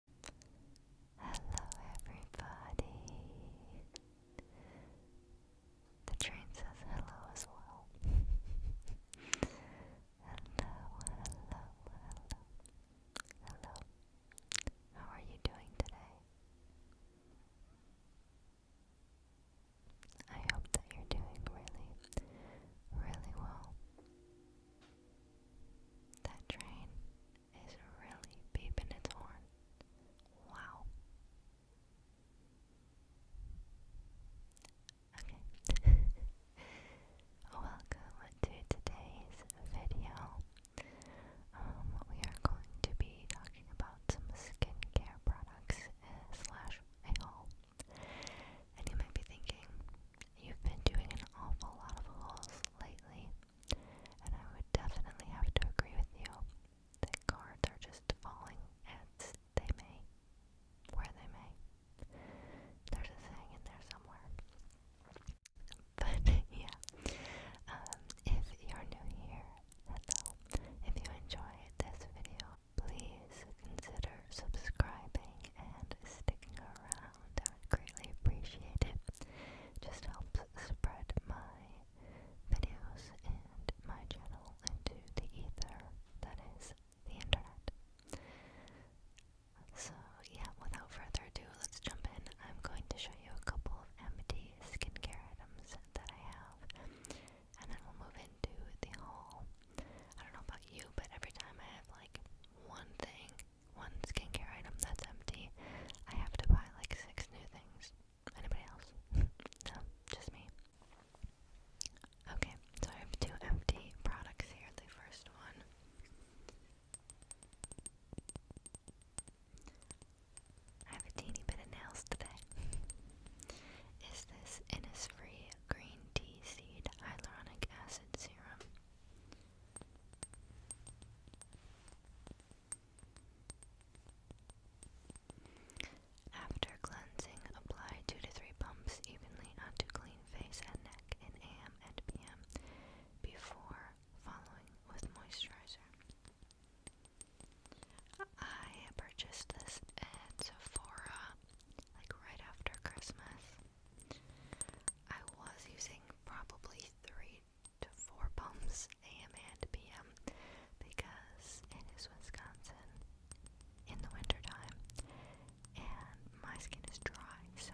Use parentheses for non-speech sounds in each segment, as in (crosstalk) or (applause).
Hello, everybody. The train says hello as well. hello, hello, hello, hello. How are you doing today? I hope that you're doing really, really well. That train is really beeping its horn. Wow. Okay. (laughs) Welcome to today's video. Um, we are going to be talking about some skincare products slash haul. And you might be thinking, you've been doing an awful lot of hauls lately. And I would definitely have to agree with you that cards are just falling as they may, where they may. There's a saying in there somewhere. But (laughs) yeah, um, if you're new here, hello. If you enjoyed this video, please consider subscribing and sticking around around, I would greatly appreciate it. Just helps spread my videos and my channel into the ether that is the internet. So, yeah, without further ado, let's jump in. I'm going to show you a couple of empty skincare items that I have, and then we'll move into the haul. I don't know about you, but every time I have like one thing one skincare item that's empty. I have to buy like six new things. Anybody else? (laughs) no, just me. Okay, so I have two empty products here. The first one I have a teeny bit of nails today. (laughs) Is this Innisfree Green Tea Seed Hyaluronic Acid Serum? After cleansing, apply 2 to 3 pumps evenly onto clean face and neck in AM and PM before following with moisturizer. I purchased this at Sephora like right after Christmas. I was using probably three to four pumps AM and PM because it is Wisconsin in the wintertime and my skin is dry, so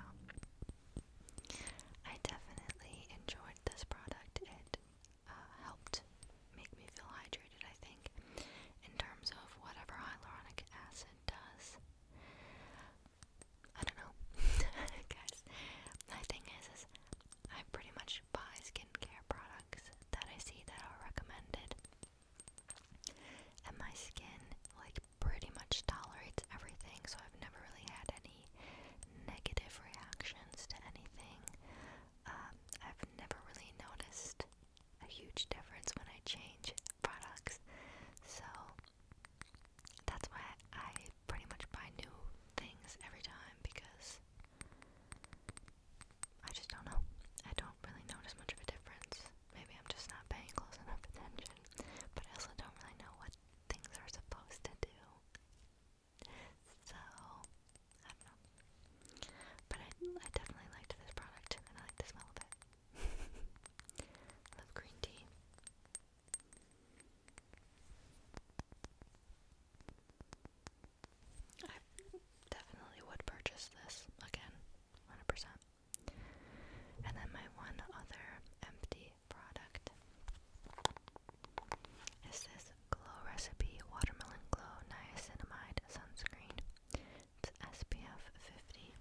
I definitely enjoyed this product. It uh, helped make me feel hydrated, I think, in terms of whatever hyaluronic acid does. I don't know, (laughs) guys. My thing is, is I pretty much buy skincare products that I see that are recommended, and my skin like pretty much tolerates everything. So I've never really had any negative reactions to anything. Um, I've never really noticed a huge difference when I change products. So that's why I pretty much buy new things every time because I just don't know. I don't really notice much of a difference. Maybe I'm just not paying close enough attention, but I also don't really know what things are supposed to do. So, I don't know. But I, I definitely liked this product and I like the smell of it. (laughs) love green tea. I definitely would purchase this again, 100%. And then my one other empty product is this Glow Recipe Watermelon Glow Niacinamide Sunscreen. It's SPF 50.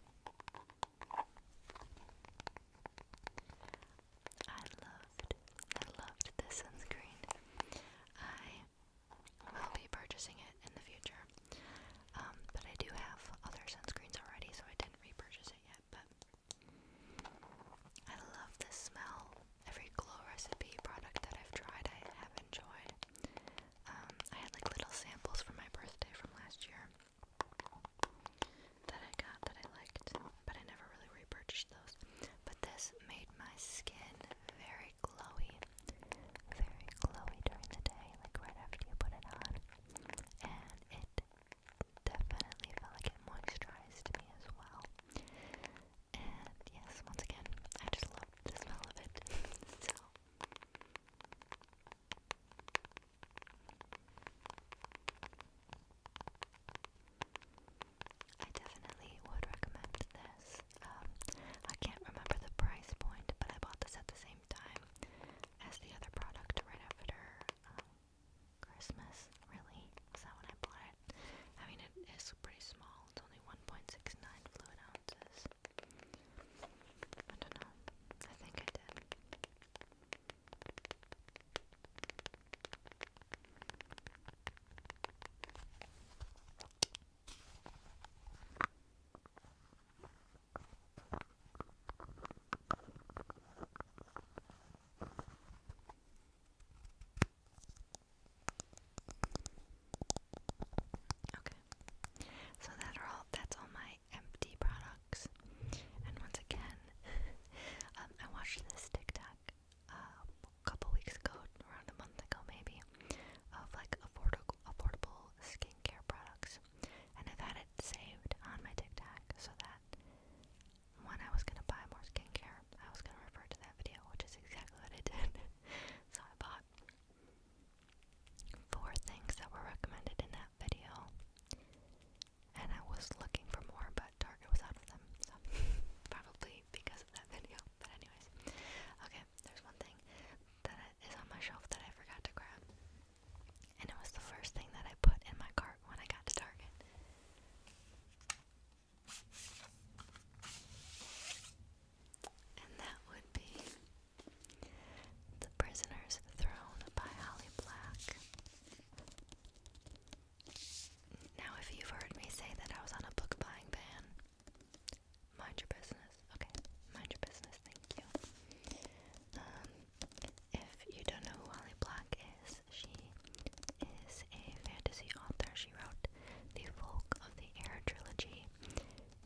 I loved, I loved this sunscreen. I will be purchasing it in the future, um, but I do have other sunscreens already, so I didn't repurchase it yet. But I love the smell. Every glow recipe product that I've tried, I have enjoyed. Um, I had like little samples for my birthday from last year, that I got that I liked, but I never really repurchased those. But this made my skin very glowy, very glowy during the day, like right after you put it on. And it definitely felt like it moisturized me as well. And yes, once again, I just love the smell of it. (laughs) so I definitely would recommend this. Um, I can't remember the price point, but I bought this at the same time as the other product right after um, Christmas, really. that when I bought it, I mean, it is pretty small, it's only 1.69 fluid ounces. I don't know. I think I did. Okay. So that are all that's all my empty products. And once again, (laughs) um, I watched this TikTok uh, a couple weeks ago, around a month ago maybe, of like affordable affordable skincare products. And I've had it saved on my TikTok so that when I was gonna buy more skincare, I was gonna refer to that video, which is exactly what I did. (laughs) so I bought four things that were recommended in that video and I was looking for more, but Target was out of them, so (laughs) probably because of that video. But anyways, okay. There's one thing that is on my shelf that I forgot to grab, and it was the first thing that I put in my cart when I got to Target. And that would be The Prisoner's Throne by Holly Black. Now, if you've heard me say that I was on a book buying ban, mind your business. Okay, mind your business. Thank you. Um, if you don't know who Holly Black is, she is a fantasy author. She wrote the Folk of the Air trilogy,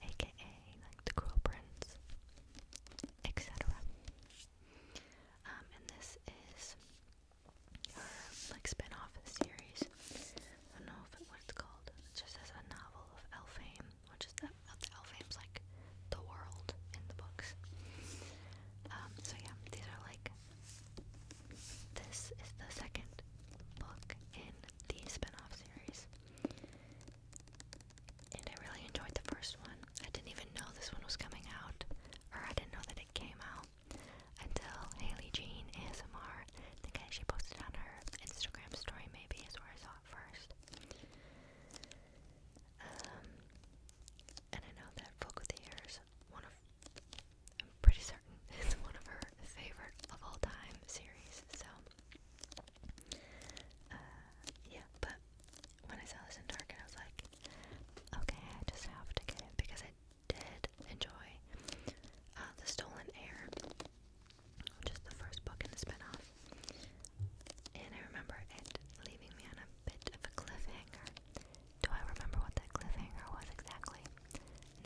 aka like the Cruel etc. Um, and this is like spin series. I don't know what it's called. It just says a novel of Elfame, which is the, the Elfame's like the world in the books. Um, so yeah, these are like this is the second book in the spin-off series and I really enjoyed the first one. I didn't even know this one was coming out, or I didn't know that it came out until Haley Jean ASMR. I think she posted on her Instagram story, maybe is where I saw it first. Um, and I know that Folk with Ears, one of, I'm pretty certain, (laughs) is one of her favorite of all time series. So, uh, yeah, but when I saw this in Target, I was like, okay, I just have to get it because I did enjoy uh, The Stolen Air, which is the first book in the spinoff. And I remember it leaving me on a bit of a cliffhanger. Do I remember what that cliffhanger was exactly?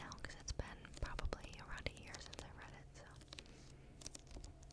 No, because it's been probably around a year since I read it, so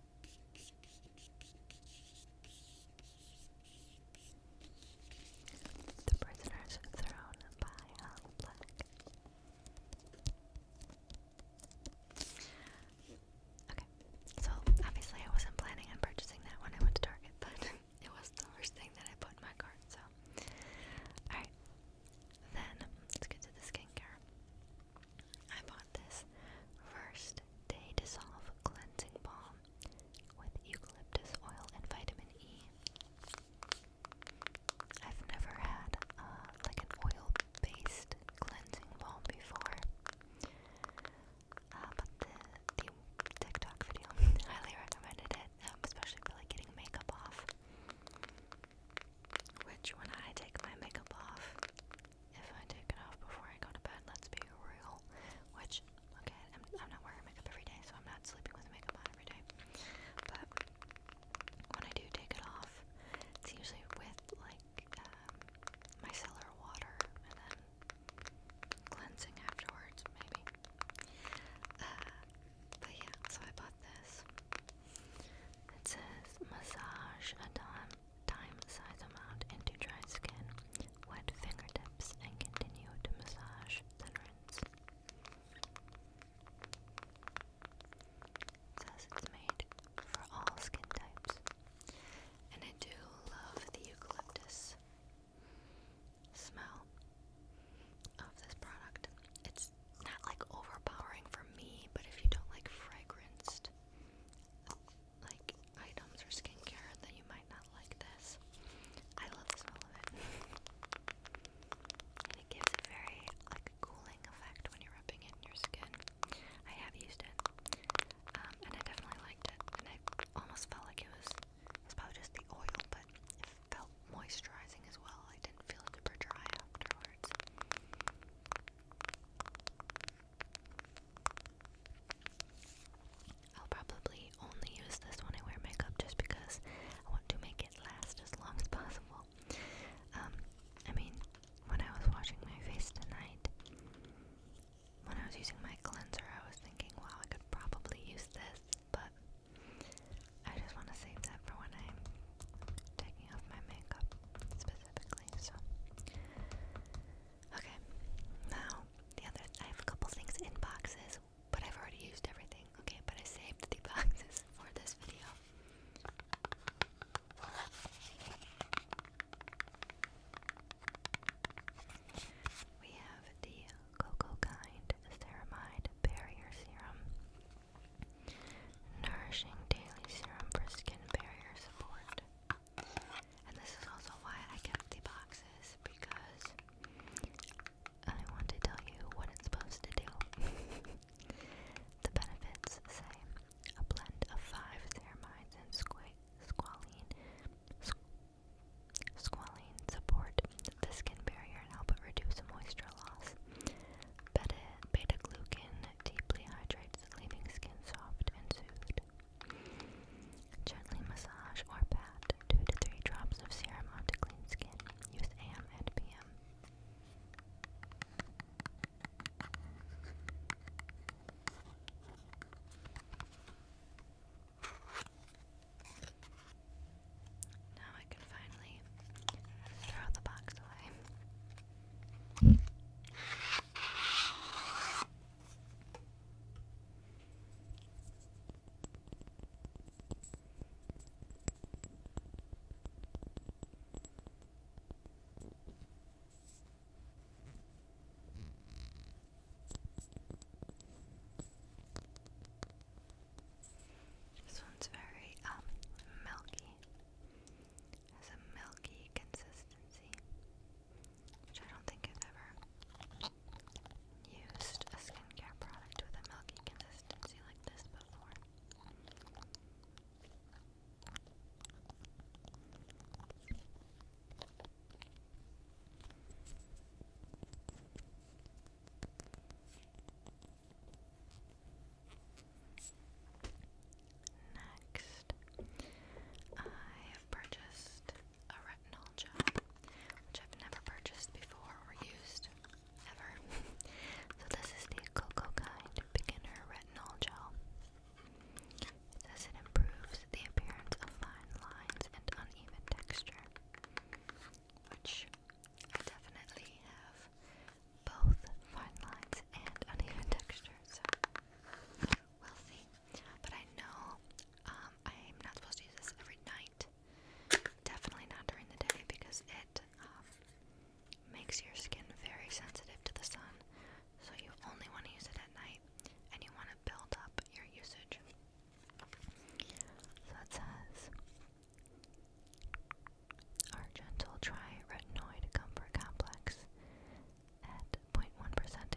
The prisoners thrown by Hal Black. Okay, so obviously I wasn't planning on purchasing that when I went to Target, (laughs) but it was the first thing that I put in my cart, so. Alright, then let's get to the skincare. I bought this first day dissolve cleansing balm with eucalyptus oil and vitamin E. I've never had uh, like an oil-based cleansing balm before, uh, but the, TikTok video (laughs) highly recommended it, um, especially for like getting makeup off. Which, when I take my makeup off, if I take it off before I go to bed, let's be real. Which, okay, I'm, not wearing makeup every day, so I'm not sleeping with makeup on every day. But when I do take it off, it's usually with like um, micellar water and then cleansing afterwards, maybe. Uh, but yeah, so I bought this. It says massage a dawn time size them out into dry skin, wet fingertips, and continue to massage, then rinse. says it's made for all skin types. And I do love the eucalyptus smell of this product. It's not like overpowering for me, but if you don't like fragranced like items or skincare, then you might not like this. I love the smell of it. (laughs) And it gives a very like cooling effect when you're rubbing it in your skin. I have used it, um, and I definitely liked it. And I almost felt like it was it's probably just the oil, but it felt moisturizing as well. I didn't feel super dry afterwards. I'll probably only use this when I wear makeup just because I want to make it last as long as possible. Um, I mean, when I was washing my face tonight, when I was using my cleanser, I was thinking, wow, I could probably use this, but I just want to save that for when I'm taking off my makeup, Okay, now the other, I have a couple things in boxes, but I've already used everything, okay, but I saved the boxes (laughs) for this video. We have the Coco Kind Ceramide Barrier Serum. Nourishing daily serum for skin barrier support. And this is also why I kept the boxes because I want to tell you what it's supposed to do. (laughs) the benefits say a blend of five ceramides and squalene. support the skin barrier and help reduce moisture loss. Bedded Beta-glucan deeply hydrates, leaving skin soft and soothed. Gently massage or pat 2 to 3 drops of serum onto clean skin. Use AM and PM. Now I can finally throw the box away. This one's very um milky has a milky consistency, which I don't think I've ever used a skincare product with a milky consistency like this before. Next, I have purchased a retinol gel, which I've never purchased before or used ever. (laughs) so, this is the Cocoa Kind Beginner Retinol Gel. It says it improves the appearance of fine lines and uneven texture, which I definitely have both fine lines and uneven texture, so we'll see. But I know um, I'm not supposed to use this every night, definitely not during the day because it um, makes your skin very sensitive to the sun. So you only want to use it at night and you want to build up your usage. So it says our Argental triretinoid comfort complex at 0.1%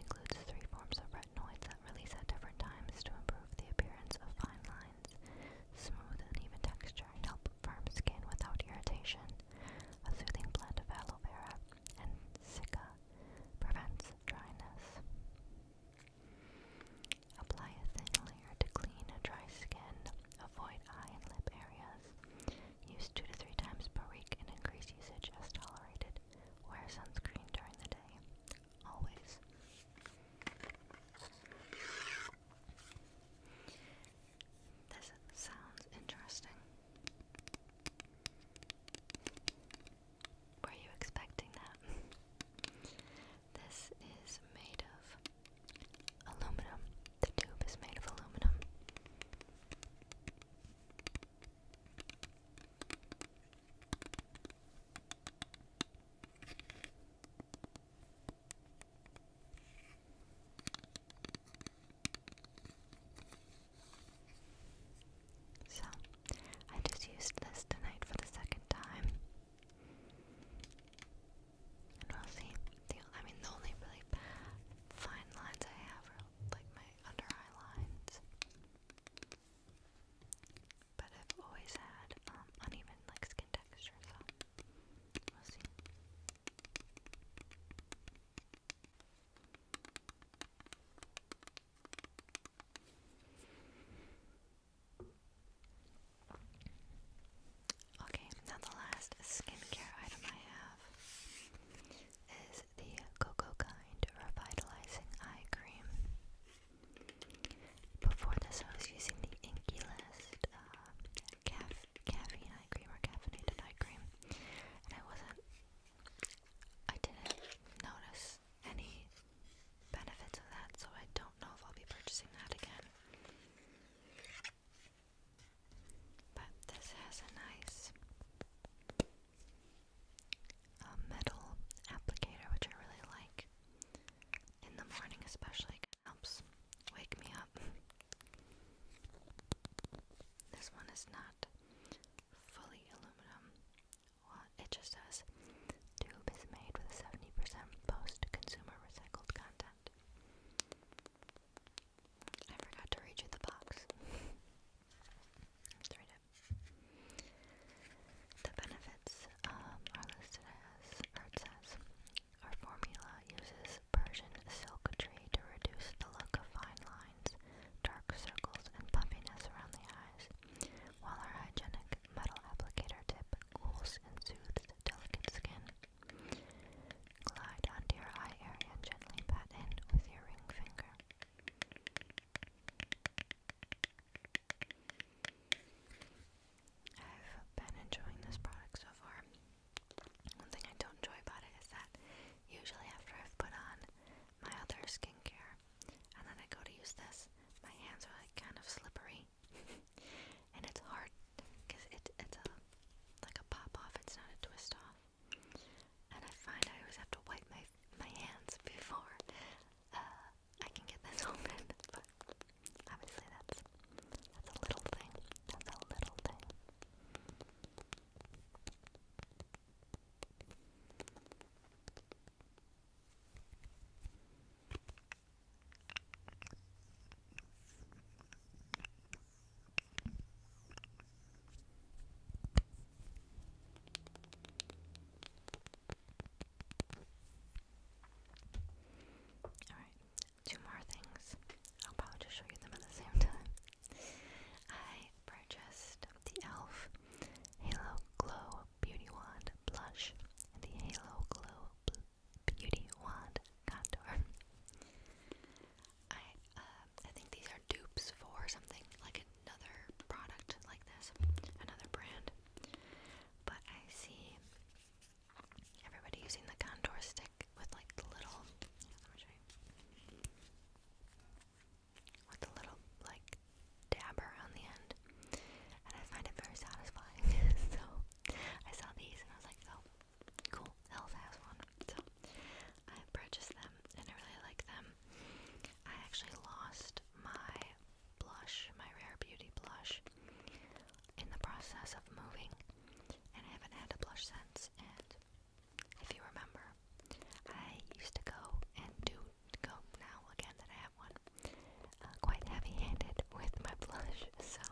includes three forms of retinoids that release at different times to improve the appearance of fine lines, smooth and even texture, and help firm skin without irritation. A soothing blend of aloe vera and cica prevents dryness. Apply a thin layer to clean dry skin. Avoid eye and lip areas. Use two to three times per week and increase usage as tolerated. Wear sunscreen during the day. Always. This sounds interesting. Were you expecting that? (laughs) this is made of aluminum the tube is made of aluminum. So, I just used this tonight for the second time. we'll see. I mean, the only really fine lines I have like my under eye lines. But I've always had um, uneven like skin texture, so we'll see. Okay, now the last skincare item I have is the Coco Kind Revitalizing Eye Cream. Before this, I was using the Inky List uh, caffeine eye cream or caffeinated eye cream, and I wasn't, I didn't notice any benefits of that, so I don't know if I'll be purchasing that again. But this has a nice uh, metal applicator, which I really like. In the morning, especially, helps wake me up. This one is not fully aluminum. it just says tube is made with 70% post-consumer recycled content. I forgot to read you the box. (laughs) The benefits um, are listed as, our formula uses Persian silk tree to reduce the look of fine lines, dark circles, and puffiness around the eyes, while our hygienic metal applicator tip cools and soothes delicate skin. Glide onto your eye area gently pat in with your ring finger. I've been enjoying this product so far. One thing I don't enjoy about it is that usually after I've put on my other skincare and then I go to use this, my hands are like kind of slippery (laughs) and it's hard because it, it's a like a pop off. It's not a twist off. And I find I always have to wipe my my hands before uh, I can get this (laughs) open. But obviously that's that's a little thing. That's a little thing. Alright, two more things. I'll probably just show you them at the same time. I purchased the e.l.f. Halo Glow Beauty Wand Blush and the Halo Glow Beauty Wand Contour. I um, I think these are dupes for something like another product like this, another brand. But I see everybody using the contour stick with like the little. With the little like dabber on the end, and I find it very satisfying. (laughs) so I saw these and I was like, oh, cool, Hell's has one. So I purchased them and I really like them. I actually lost my blush, my Rare Beauty blush, in the process of moving, and I haven't had a blush since. And if you remember, I used to go and do go now again that I have one, uh, quite heavy handed with my (laughs) blush, so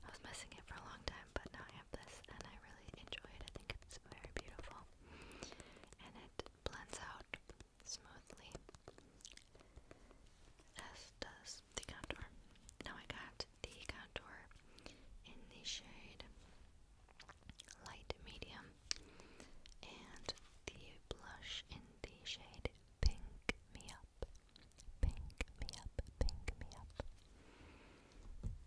I was messing it for a long time but now I have this and I really enjoy it. I think it's very beautiful and it blends out smoothly, as does the contour. Now I got the contour in the shade light medium and the blush in the shade pink me up. Pink me up, pink me up.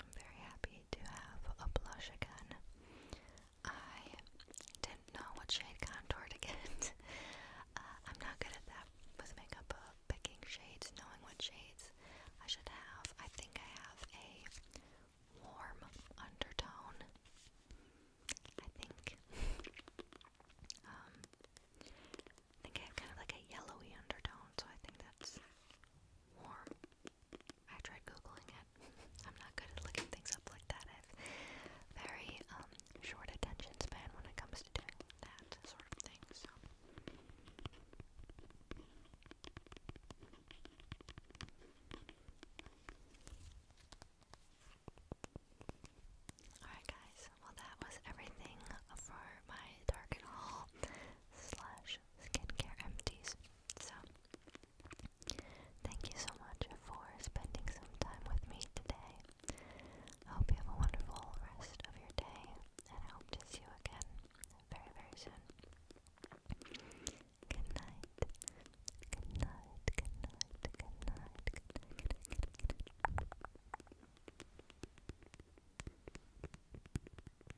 I'm very happy to have a blush again. I didn't know what shade contour to get. (laughs) Uh, I'm not good at that with makeup, uh, picking shades, knowing what shades I should have. I think I have a warm undertone. I think. Um, I think I have kind of like a yellowy undertone, so I think that's warm. I tried googling it. (laughs) I'm not good at looking things up like that. I've very um, short attention span when it comes to doing that sort of thing. So Alright guys, well that was everything for my Target haul slash skincare empties. So, thank you so much for spending some time with me today. I hope you have a wonderful rest of your day, and I hope to see you again very, very soon. Good night. Good night. Good night. Good night. Good night. Good night.